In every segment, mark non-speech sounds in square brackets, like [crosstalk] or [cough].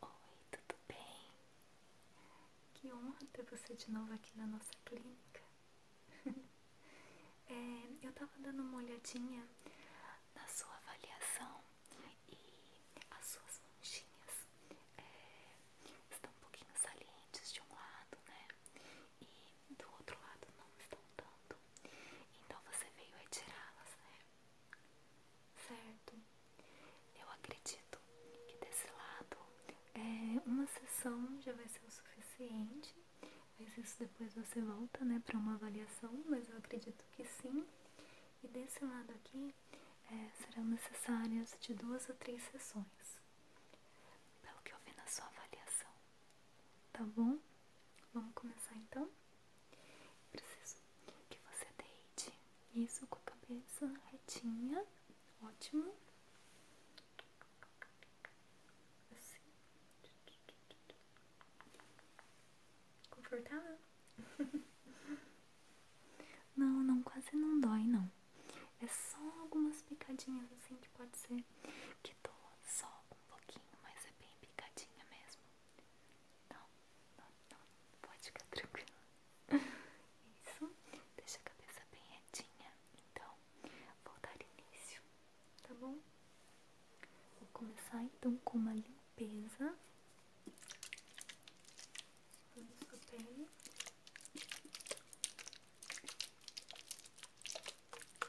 Oi, tudo bem? Que honra ter você de novo aqui na nossa clínica. [laughs] É, eu tava dando uma olhadinha na sua avaliação e as suas manchinhas é, estão um pouquinho salientes de um lado, né? E do outro lado não estão tanto. Então você veio retirá-las, né? Certo? Eu acredito que desse lado é, uma sessão já vai ser o suficiente. Mas isso depois você volta, né, para uma avaliação, mas eu acredito que sim. E desse lado aqui é, serão necessárias de duas a três sessões, pelo que eu vi na sua avaliação. Tá bom? Vamos começar então? Preciso que você deite isso com a cabeça retinha, ótimo. Assim. Confortável? [laughs] Não, não, quase não dói, não. É só algumas picadinhas assim que pode ser que doa só um pouquinho, mas é bem picadinha mesmo. Não, não, não, pode ficar tranquila. [laughs] Isso, deixa a cabeça bem retinha. Então, vou dar início, tá bom? Vou começar então com uma limpeza. Toda sua pele.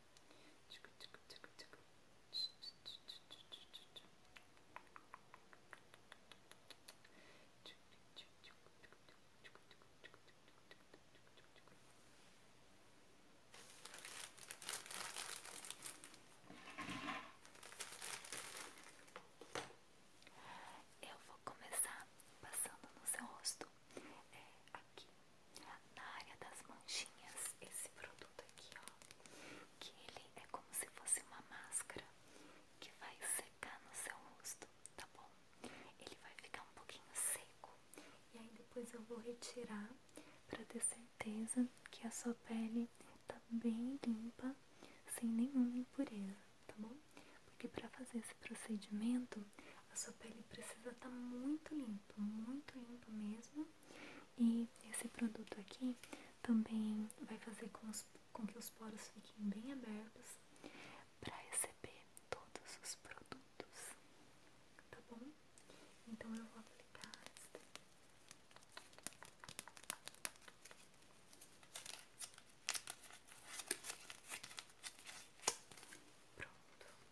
Eu vou começar passando no seu rosto, é, aqui na área das manchinhas, esse produto aqui, ó, que ele é como se fosse uma máscara que vai secar no seu rosto, tá bom? Ele vai ficar um pouquinho seco e aí depois eu vou retirar para ter certeza que a sua pele tá bem limpa, sem nenhuma impureza, tá bom? Porque para fazer esse procedimento a sua pele precisa estar tá muito limpa, muito limpa mesmo. E esse produto aqui também vai fazer com, que os poros fiquem bem abertos para receber todos os produtos, tá bom? Então eu vou aplicar esta. Pronto.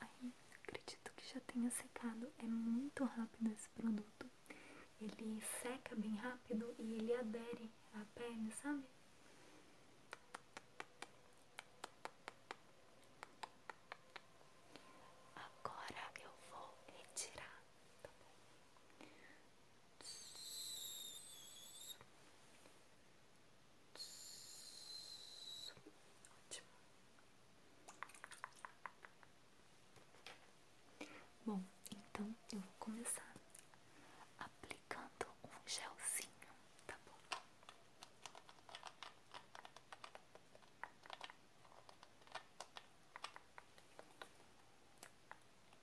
Aí, acredito que já tenha secado. É muito rápido esse produto. Ele seca bem rápido e ele adere à pele, sabe? Agora eu vou retirar, tá bom? Ótimo. Bom, então eu vou começar aplicando um gelzinho, tá bom?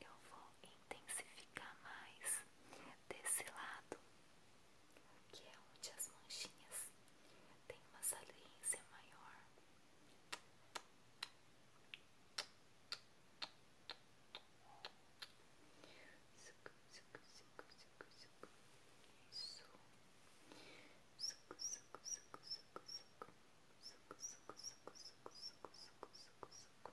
eu vou intensificar mais desse lado, que é onde as manchinhas têm uma saliência maior. Isso. Suco, suco, suco, suco, suco, suco, suco, suco, suco, suco, suco, suco, suco,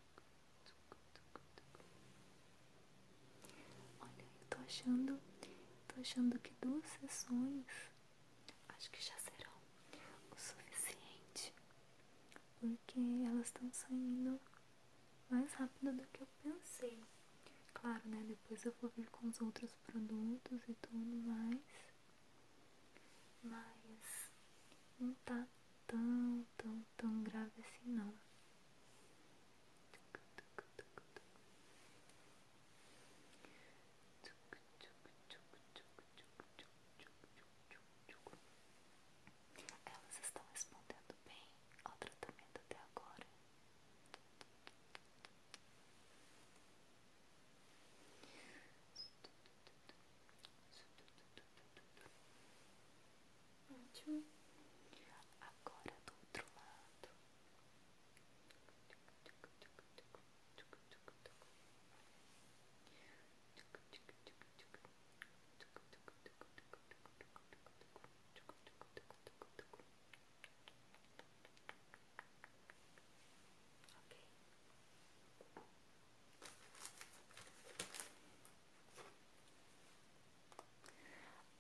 Olha, eu tô achando, tô achando que duas sessões acho que já serão o suficiente, porque elas estão saindo mais rápido do que eu pensei. Claro, né? Depois eu vou vir com os outros produtos e tudo mais mas não tá tão, tão, tão grave assim não. Elas estão respondendo bem ao tratamento até agora. Ótimo. Agora do outro lado. Ok.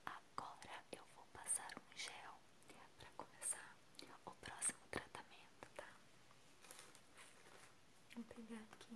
Agora eu vou passar um gel para começar o próximo tratamento, tá? Vou pegar aqui.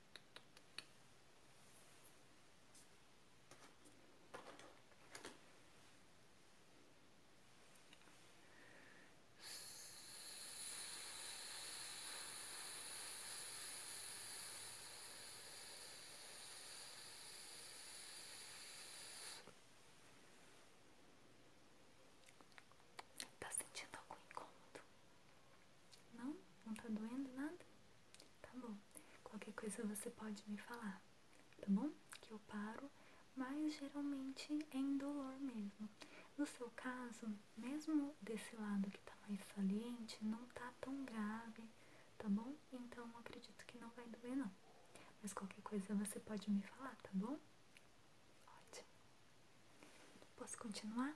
Tá sentindo algum incômodo? Não? Não tá doendo nada? Tá bom. Qualquer coisa você pode me falar, tá bom? Que eu paro, mas geralmente é indolor mesmo. No seu caso, mesmo desse lado que tá mais saliente, não tá tão grave, tá bom? Então acredito que não vai doer não. Mas qualquer coisa você pode me falar, tá bom? Ótimo. Posso continuar?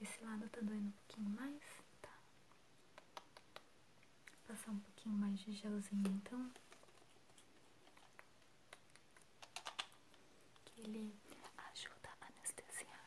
Esse lado tá doendo um pouquinho mais, tá? Vou passar um pouquinho mais de gelzinho então. Que ele ajuda a anestesiar.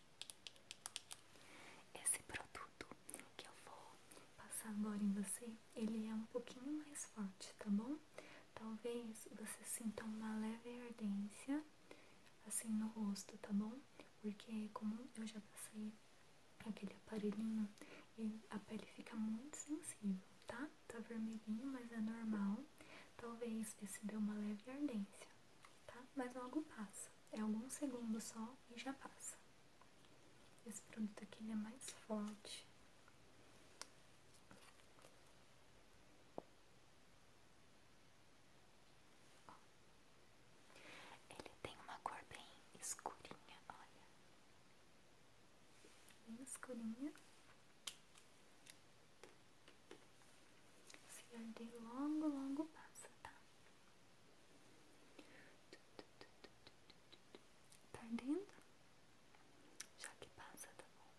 Esse produto que eu vou passar agora em você, ele é um pouquinho mais forte, tá bom? Talvez você sinta uma leve ardência assim no rosto, tá bom? Porque é como eu já passei aquele aparelhinho, a pele fica muito sensível, tá? Tá vermelhinho, mas é normal. Talvez você deu uma leve ardência, tá? Mas logo passa. É alguns segundos só e já passa. Esse produto aqui ele é mais forte. Ele tem uma cor bem escurinha, olha. Bem escurinha. Se arder longo longo passa, tá? Tá ardendo? Já que passa, tá bom?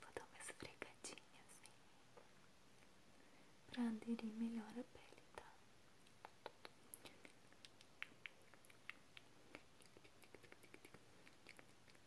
Vou dar uma esfregadinha assim pra aderir melhor a pele, tá?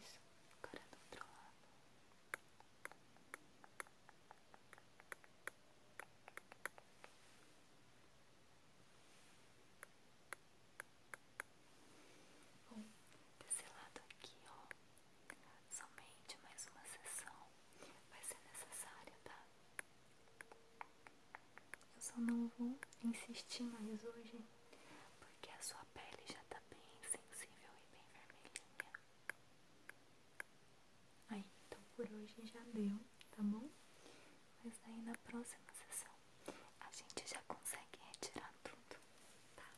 Isso, agora é do outro lado. Bom, desse tá lado aqui, ó. Somente mais uma sessão vai ser necessária, tá? Eu só não vou insistir mais hoje, porque a sua pele já tá bem sensível e bem vermelhinha. Aí, então por hoje já deu, tá bom? Mas aí na próxima sessão a gente já consegue retirar tudo, tá?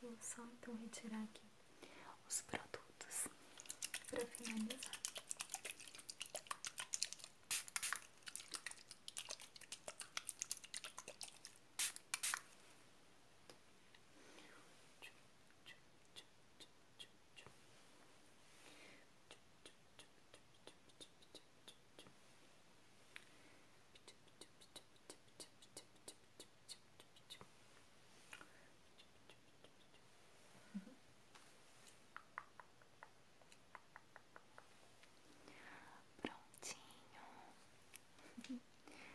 Vou só então retirar aqui os produtos para finalizar. Prontinho.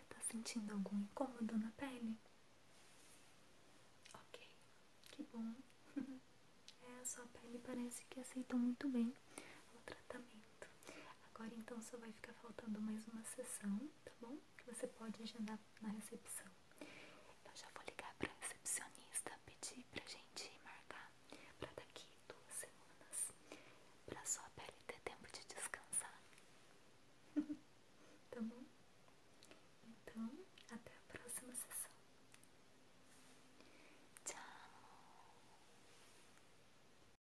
Tá sentindo algum incômodo na pele? Ok, que bom. [laughs] É, a sua pele parece que aceitou muito bem o tratamento. Agora então só vai ficar faltando mais uma sessão, tá bom? Que você pode agendar na recepção. Eu já vou ligar pra recepcionista, pedir pra gente marcar pra daqui duas semanas, pra sua pele ter tempo de descansar. [laughs] tá bom? Então, até a próxima sessão. Tchau!